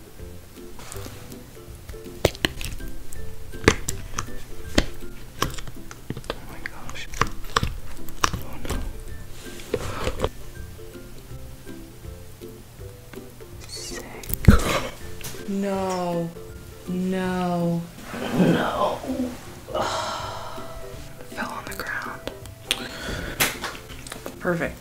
Oh my gosh. Oh no. Sick. No. No. No. Fell on the ground. Perfect.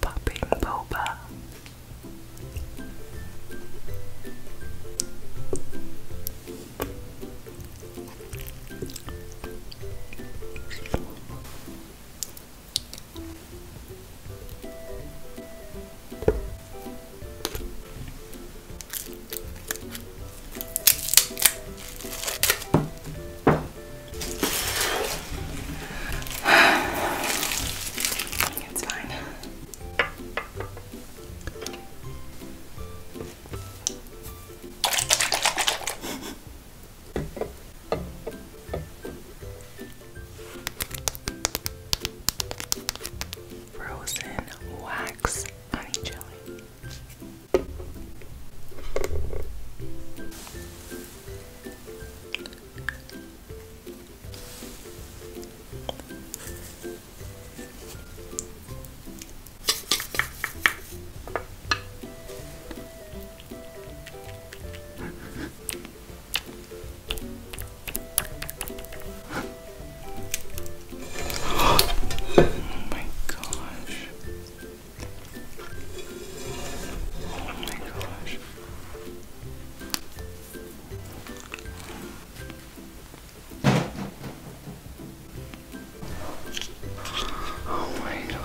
Popping boba. It's fine. Frozen wax honey jelly oh my gosh. Oh my gosh. Oh my gosh.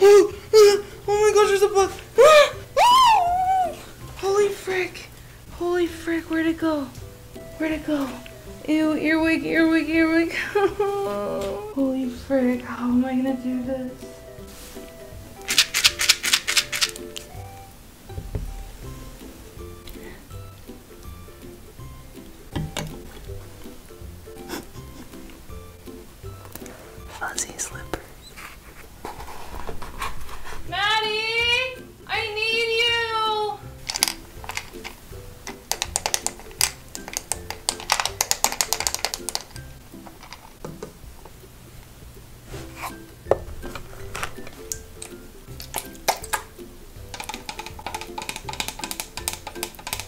Oh, oh, my gosh, there's a bug. Holy frick. Holy frick, where'd it go? Where'd it go? Ew, earwig, earwig, earwig. Holy frick, how am I gonna do this? Fuzzy slippers. Maddie! I need you!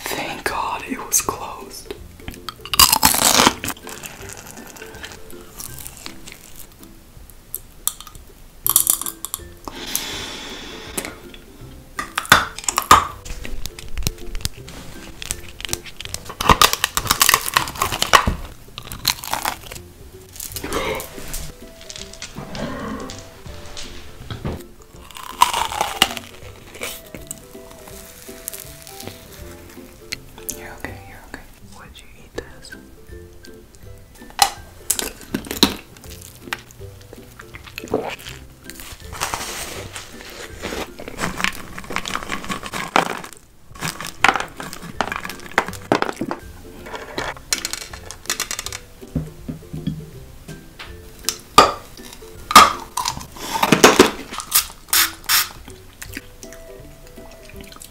Thank God it was closed. You're okay, you're okay. Would you eat this?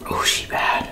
Oh, she bad.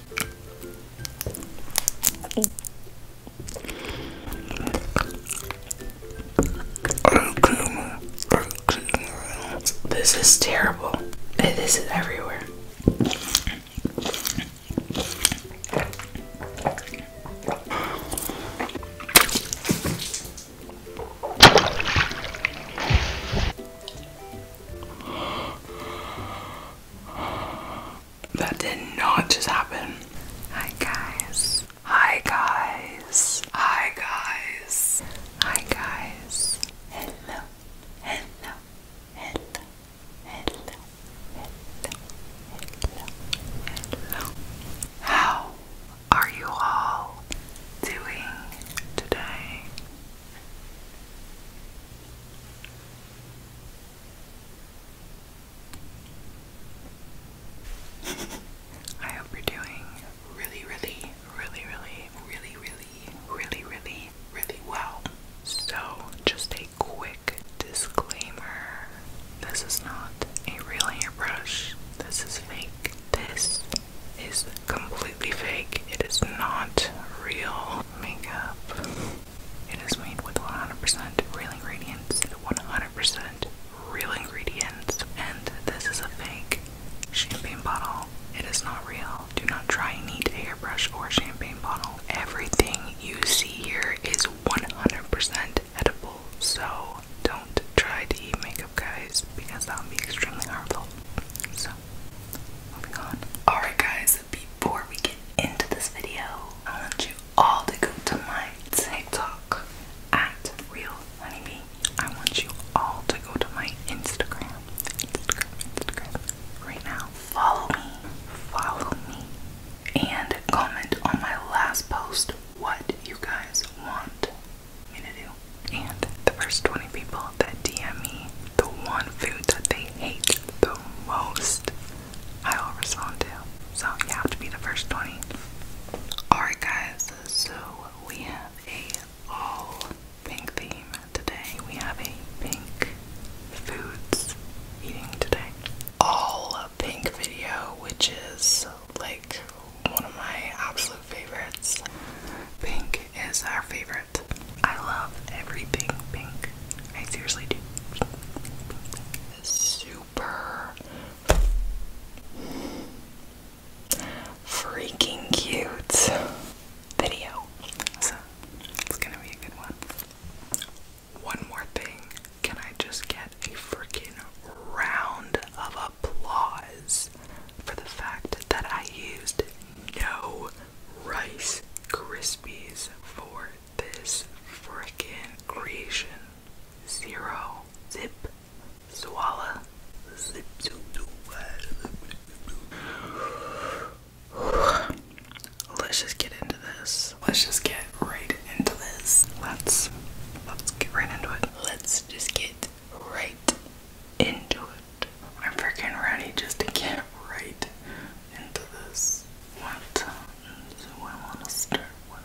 This is terrible. This is everywhere. That did not just happen. Hi guys. Hi guys. Hi guys. Hi guys. Hello. Hello. Hello. Hello. Hello. Hello. Hello. How are you all doing today? I hope you're doing really, really, really, really, really, really, really, really, really well. So, just a quick disclaimer this is not a real hairbrush. this is fake. This is completely fake, it is not real makeup. It is made with 100% real ingredients, 100% real ingredients, and this is a fake champagne bottle. It is not real. Do not try and eat a airbrush or champagne bottle. Everything you see here is 100% edible, so don't try to eat makeup, guys, because that would be extremely harmful. So, moving on. Alright, guys, before we get into this video, I want you all to go to my TikTok at Real Honeybee. I want you all to go to my Instagram, Instagram, Instagram, right now. Follow me, follow me, and comment on my last post what you guys want me to do. And the first 20 people that DM me the one food that they hate the most I will respond to. So you have to be the first 20. Alright guys, so we have a all pink theme today. We have a pink foods eating today. All pink video, which is like one of my absolute favorites. Pink is our favorite I love everything pink. I seriously do. Pink, pink, Super freaking cute video. So it's gonna be a good one. One more thing. Can I just get a freaking round of applause for the fact that I used no Rice Krispies for this freaking creation. Zero, zip, swallow, zip, zip, Let's just get into this. Let's just get right into this. Let's let's get right into it. Let's just get right into it. I'm freaking ready just to get right into this one time, I want to start with.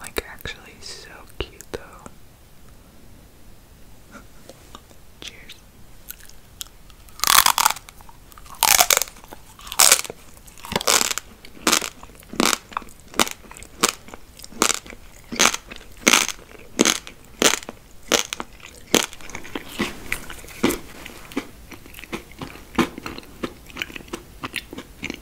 Like, actually, so cute though. Cheers.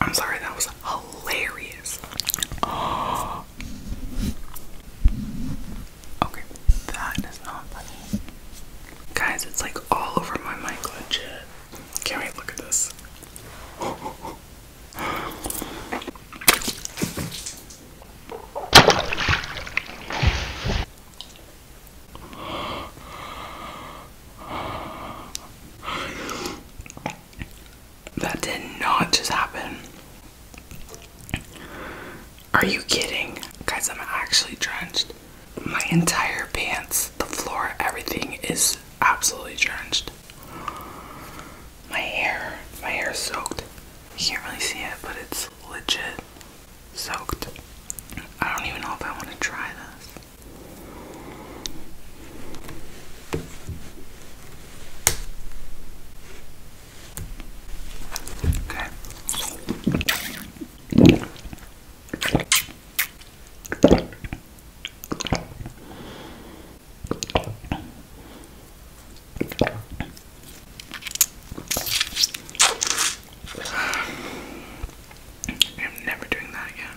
I'm sorry, that was hilarious. Okay, that is not funny. Guys, it's like all over my mic legit. Can't look at this. That did not just happen. Are you kidding? Guys, I'm actually drenched. My entire pants, the floor, everything is absolutely drenched. My hair, my hair is soaked. You can't really see it, but it's legit soaked. I don't even know if I want to try this. Okay. I'm never doing that again.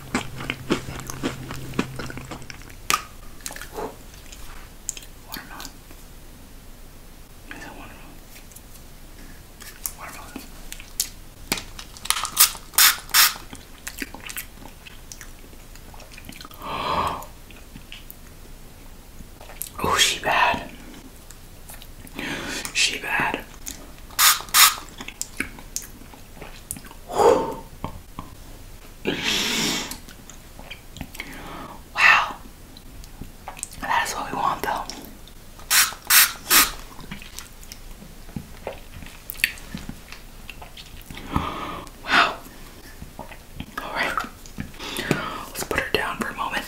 Watermelon. Is that watermelon? Watermelon. Oh, she bad. She bad. Oh, wow. That's what we want though. Wow. Alright. Let's put her down for a moment.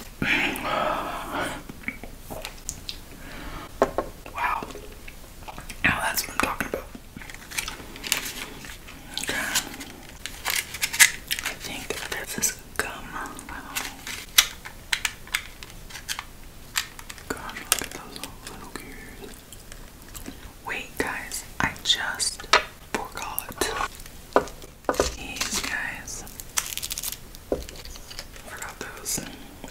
Wow. Now that's what I'm talking about. Okay. I think there's this gum. Wow. Gosh, look at those little gears. Wait, guys, I just forgot. These guys. Forgot those.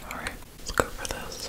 All right, let's go for this.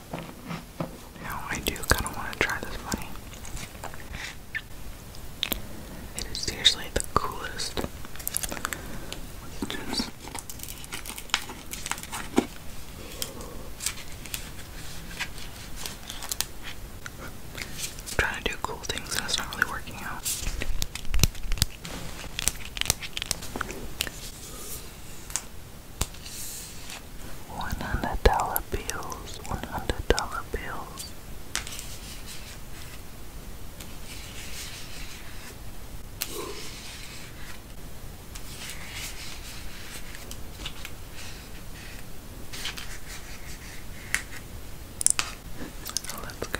Now I do kind of want to try this bunny. It is seriously the coolest. just. trying to do cool things and it's not really working out one hundred dollar bills, one hundred dollar bills. let's go.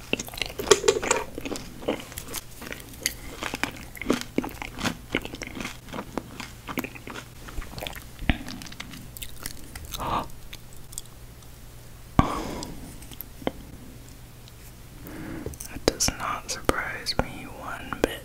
That does not surprise me one bit.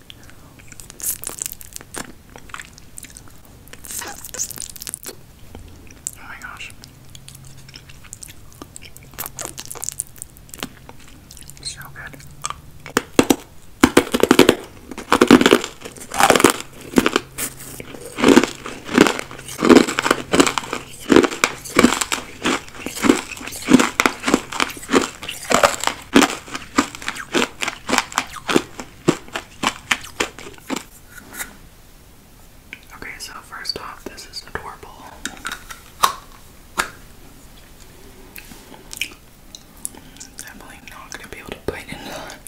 Oh my gosh. So good. Okay, so first off, this is adorable. Definitely not gonna be able to bite into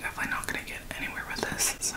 Definitely not going to get anywhere with this, so.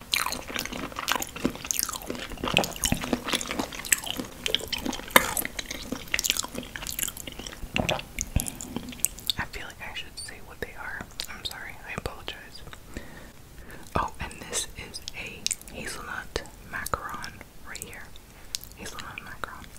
I feel like I should say what they are. I'm sorry, I apologize. Oh, and this is a hazelnut macaron right here. Hazelnut macaron.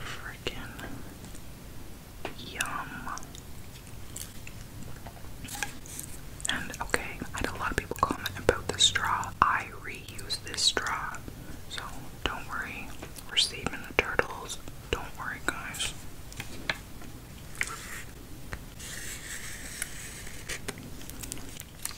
Freaking yum. And okay, I had a lot of people comment about the straw. I reuse this straw, so don't worry. We're saving the turtles. Don't worry, guys.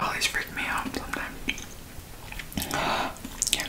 Always freak me out sometimes. yeah.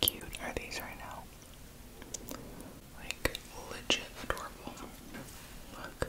cute are these right now? Like, legit adorable. Look.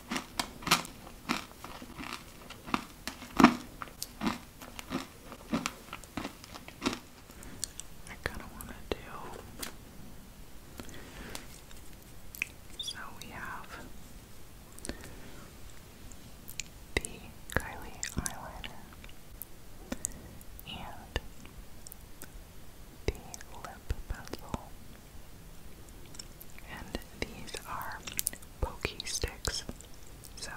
I kind of want to do. So we have the Kylie eyeliner and the lip pencil. And these are pokey sticks. So,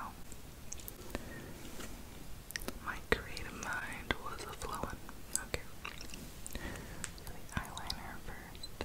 my creative mind was a Okay. eyeliner first.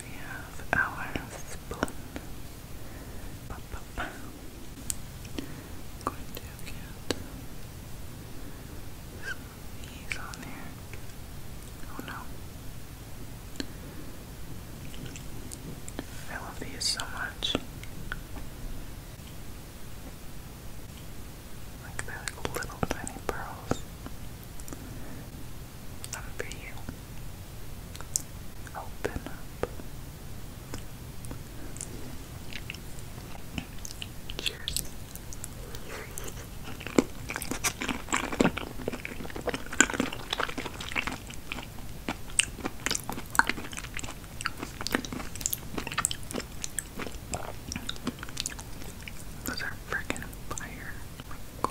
We have our spoon. i going to get these on there. Oh no. I love these so much. Like they little tiny pearls for you. Open up. Cheers. Those are freaking fire. Oh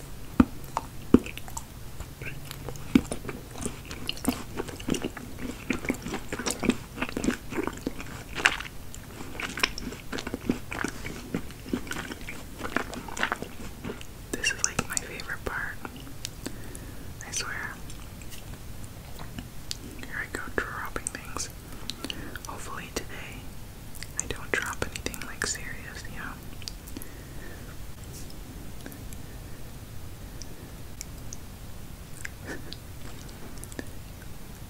This is like my favorite part. I swear. Here I go dropping things. Hopefully today I don't drop anything like serious, you know.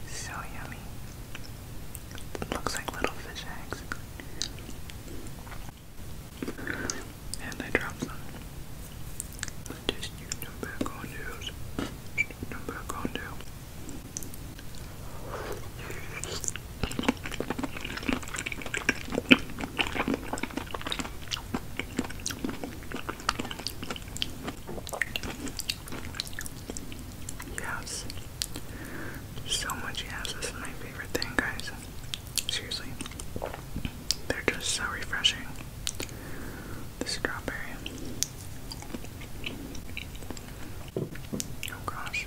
so yummy. looks like little fish eggs. And I dropped them. Just stick them back on there. Stick them back on there. Yes. So much yes. This is my favorite thing, guys. Seriously. They're just so refreshing. The strawberry. Oh gosh.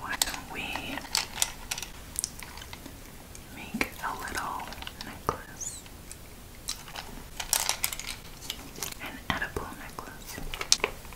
Why don't we make a little necklace? An edible necklace.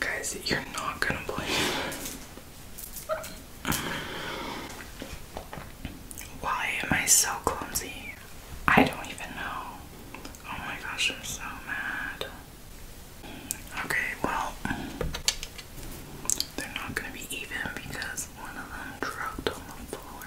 Guys, you're not gonna believe Why am I so clumsy? I don't even know. Oh my gosh, I'm so mad. Okay, well, they're not gonna be even because one of them dropped on the floor.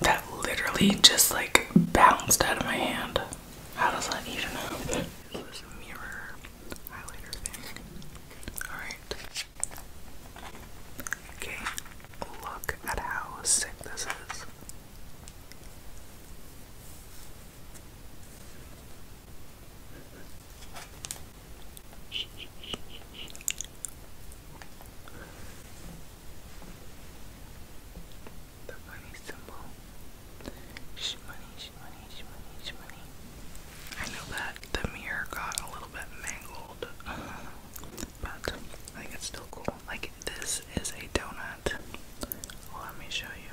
That literally just like bounced out of my hand. How does that even happen? This mirror highlighter thing. Alright. Okay, look at how sick this is. The money symbol. Sh money, sh money, I know that the mirror got a little bit mangled, uh-huh. but I think it's still cool. Like, this is a donut. Let me show you.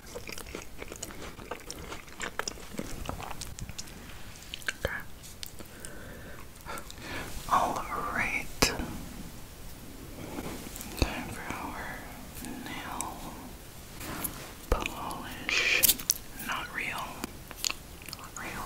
All right. Time for our nail polish. Not real. Not real.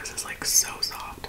This is like so soft.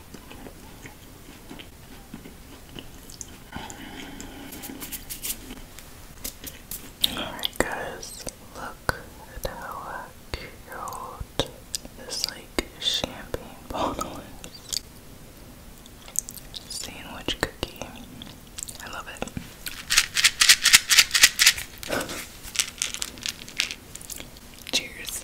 Alright guys, look at how cute this like champagne bottle is. Sandwich cookie. I love it. Cheers.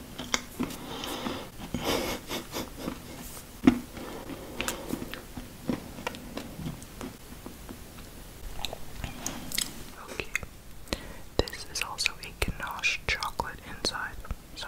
Okay. This is also a ganache chocolate inside. So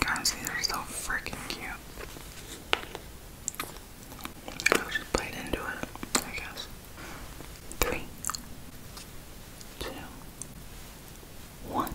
Guys, these are so freaking cute. I'll just bite into it, I guess. Three, two, one.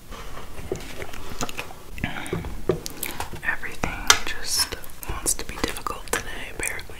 Everything just wants to be difficult today, apparently.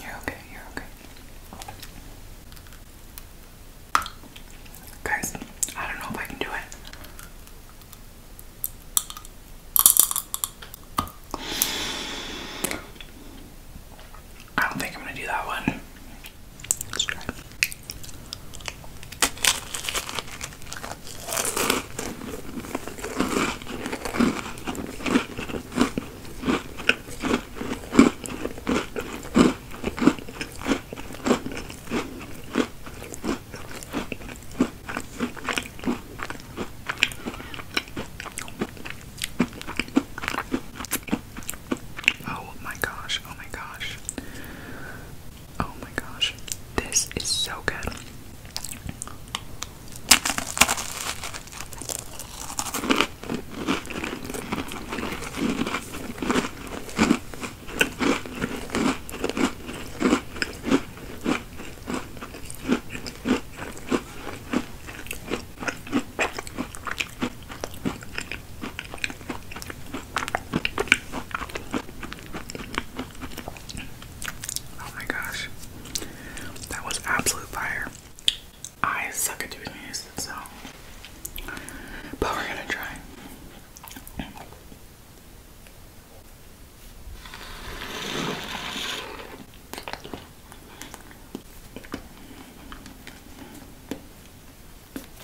You're okay, you're okay. Guys, I don't know if I can do it. I don't think I'm gonna do that one. Let's Oh my gosh, oh my gosh. Oh my gosh, this is so good. Oh my gosh. That was absolute fire. I suck at doing these, so. But we're gonna try.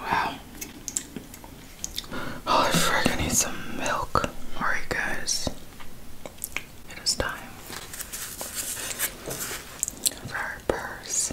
Wow. Holy frick, I need some milk. Alright, guys. It is time for our purse.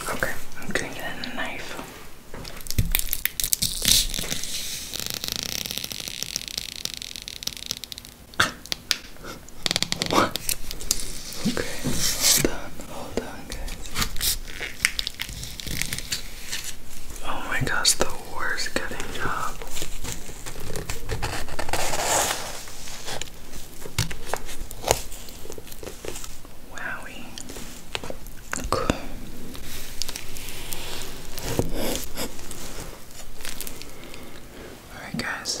Okay, I'm doing it in a knife what? Okay, hold hold on, guys. Oh my gosh, the worst cutting job. Wowie. Okay. Alright, guys.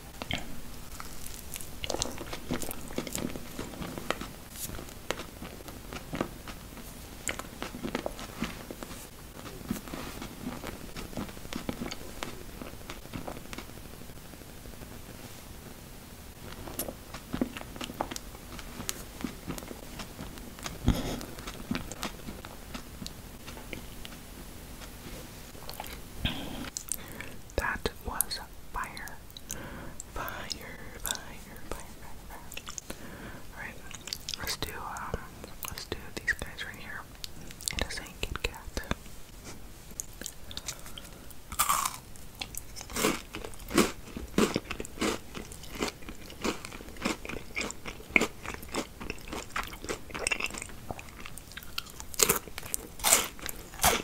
That was fire. Fire, fire, fire, fire, fire. Alright, let's do, um, let's do these guys right here. It is a Kit Kat.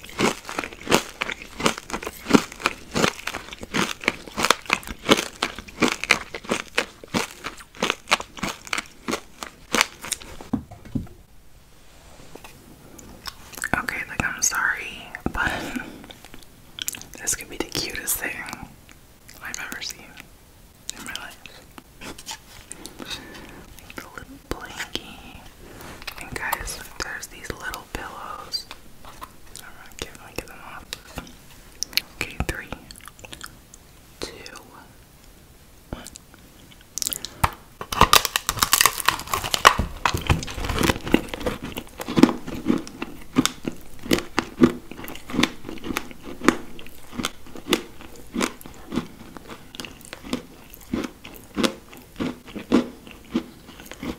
Okay, like I'm sorry, but this could be the cutest thing I've ever seen in my life. the little blankie guys, there's these little pillows. i not giving get them off. Okay, three, two, one.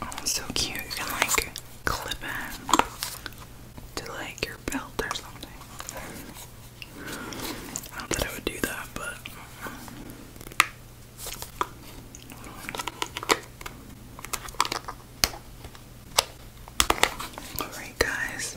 Oh, it's so cute. You can like clip it to like your belt or something. I don't that I would do that, but. Alright, guys.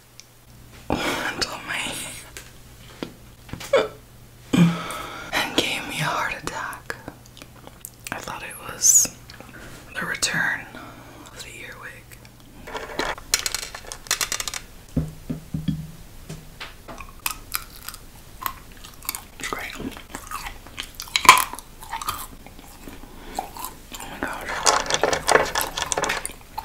until my and gave me a heart attack. I thought it was the return of the earwig. Great. Oh my god.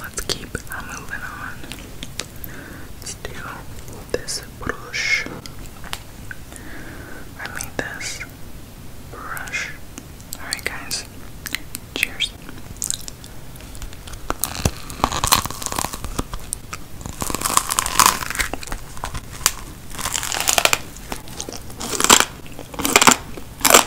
Let's keep moving on. Let's do this brush. I made this brush. Alright, guys. Cheers.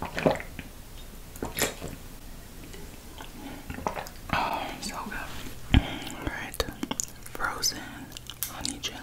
Oh, so good. Alright, frozen honey jelly.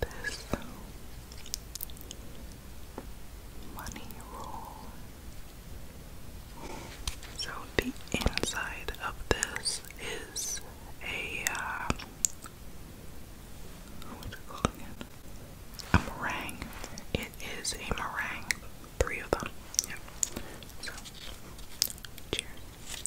this money roll. So the inside of this is a uh, what do you A meringue. It is a meringue. Three of them. Yep. So cheers.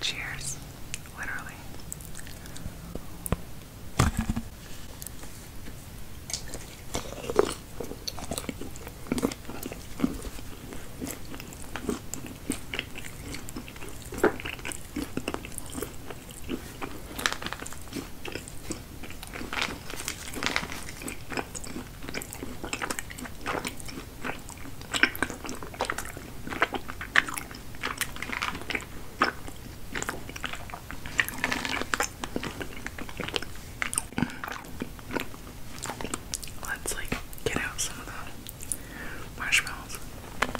Cheers, literally. Let's like get out some of the marshmallows.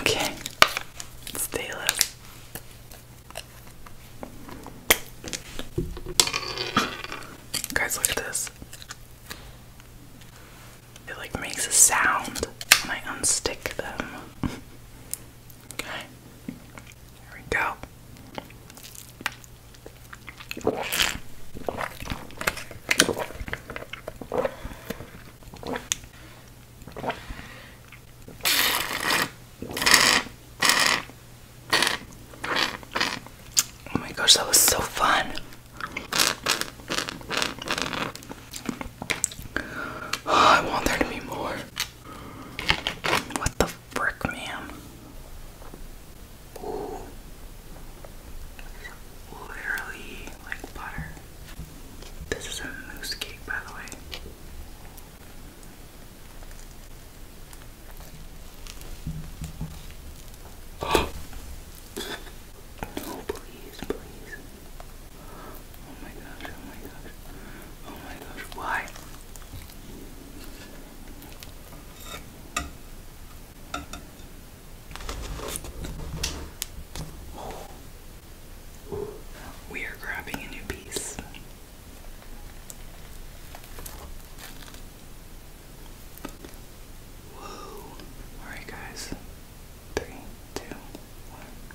Okay, let's Guys, look at this. It like makes a sound when I unstick them. Okay. There we go. Oh my gosh, that was so fun. Oh, I want there to be more. What the frick, ma'am? Ooh. Literally like butter. This is a mousse cake, by the way. Oh. No, please, please. Oh my gosh, oh my gosh. Oh my gosh, why? We are grabbing a new piece. Whoa. Alright, guys. Three, two, one.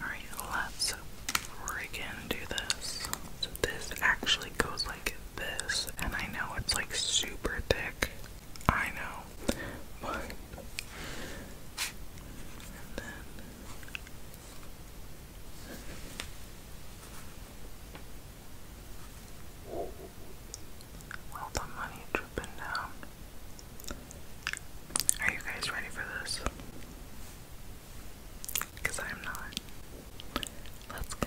Alright, let's freaking do this. So this actually goes like this, and I know it's like super thick. I know. But and then all the money dripping down. Are you guys ready for this? because I'm not. Let's go.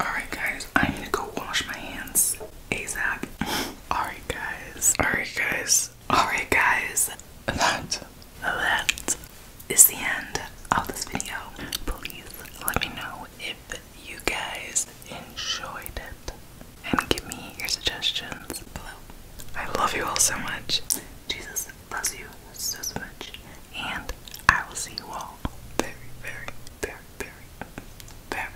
Alright, guys, I need to go wash my hands ASAP. Alright, guys. Alright, guys. Alright, guys. That, that is the end of this video. Please let me know if you guys enjoyed it and give me your suggestions below. I love you all so much. Jesus loves you so, so much. And I will see you all very, very, very, very, very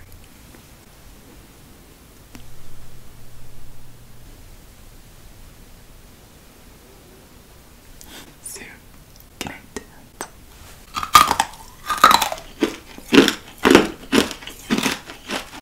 soon. Good night.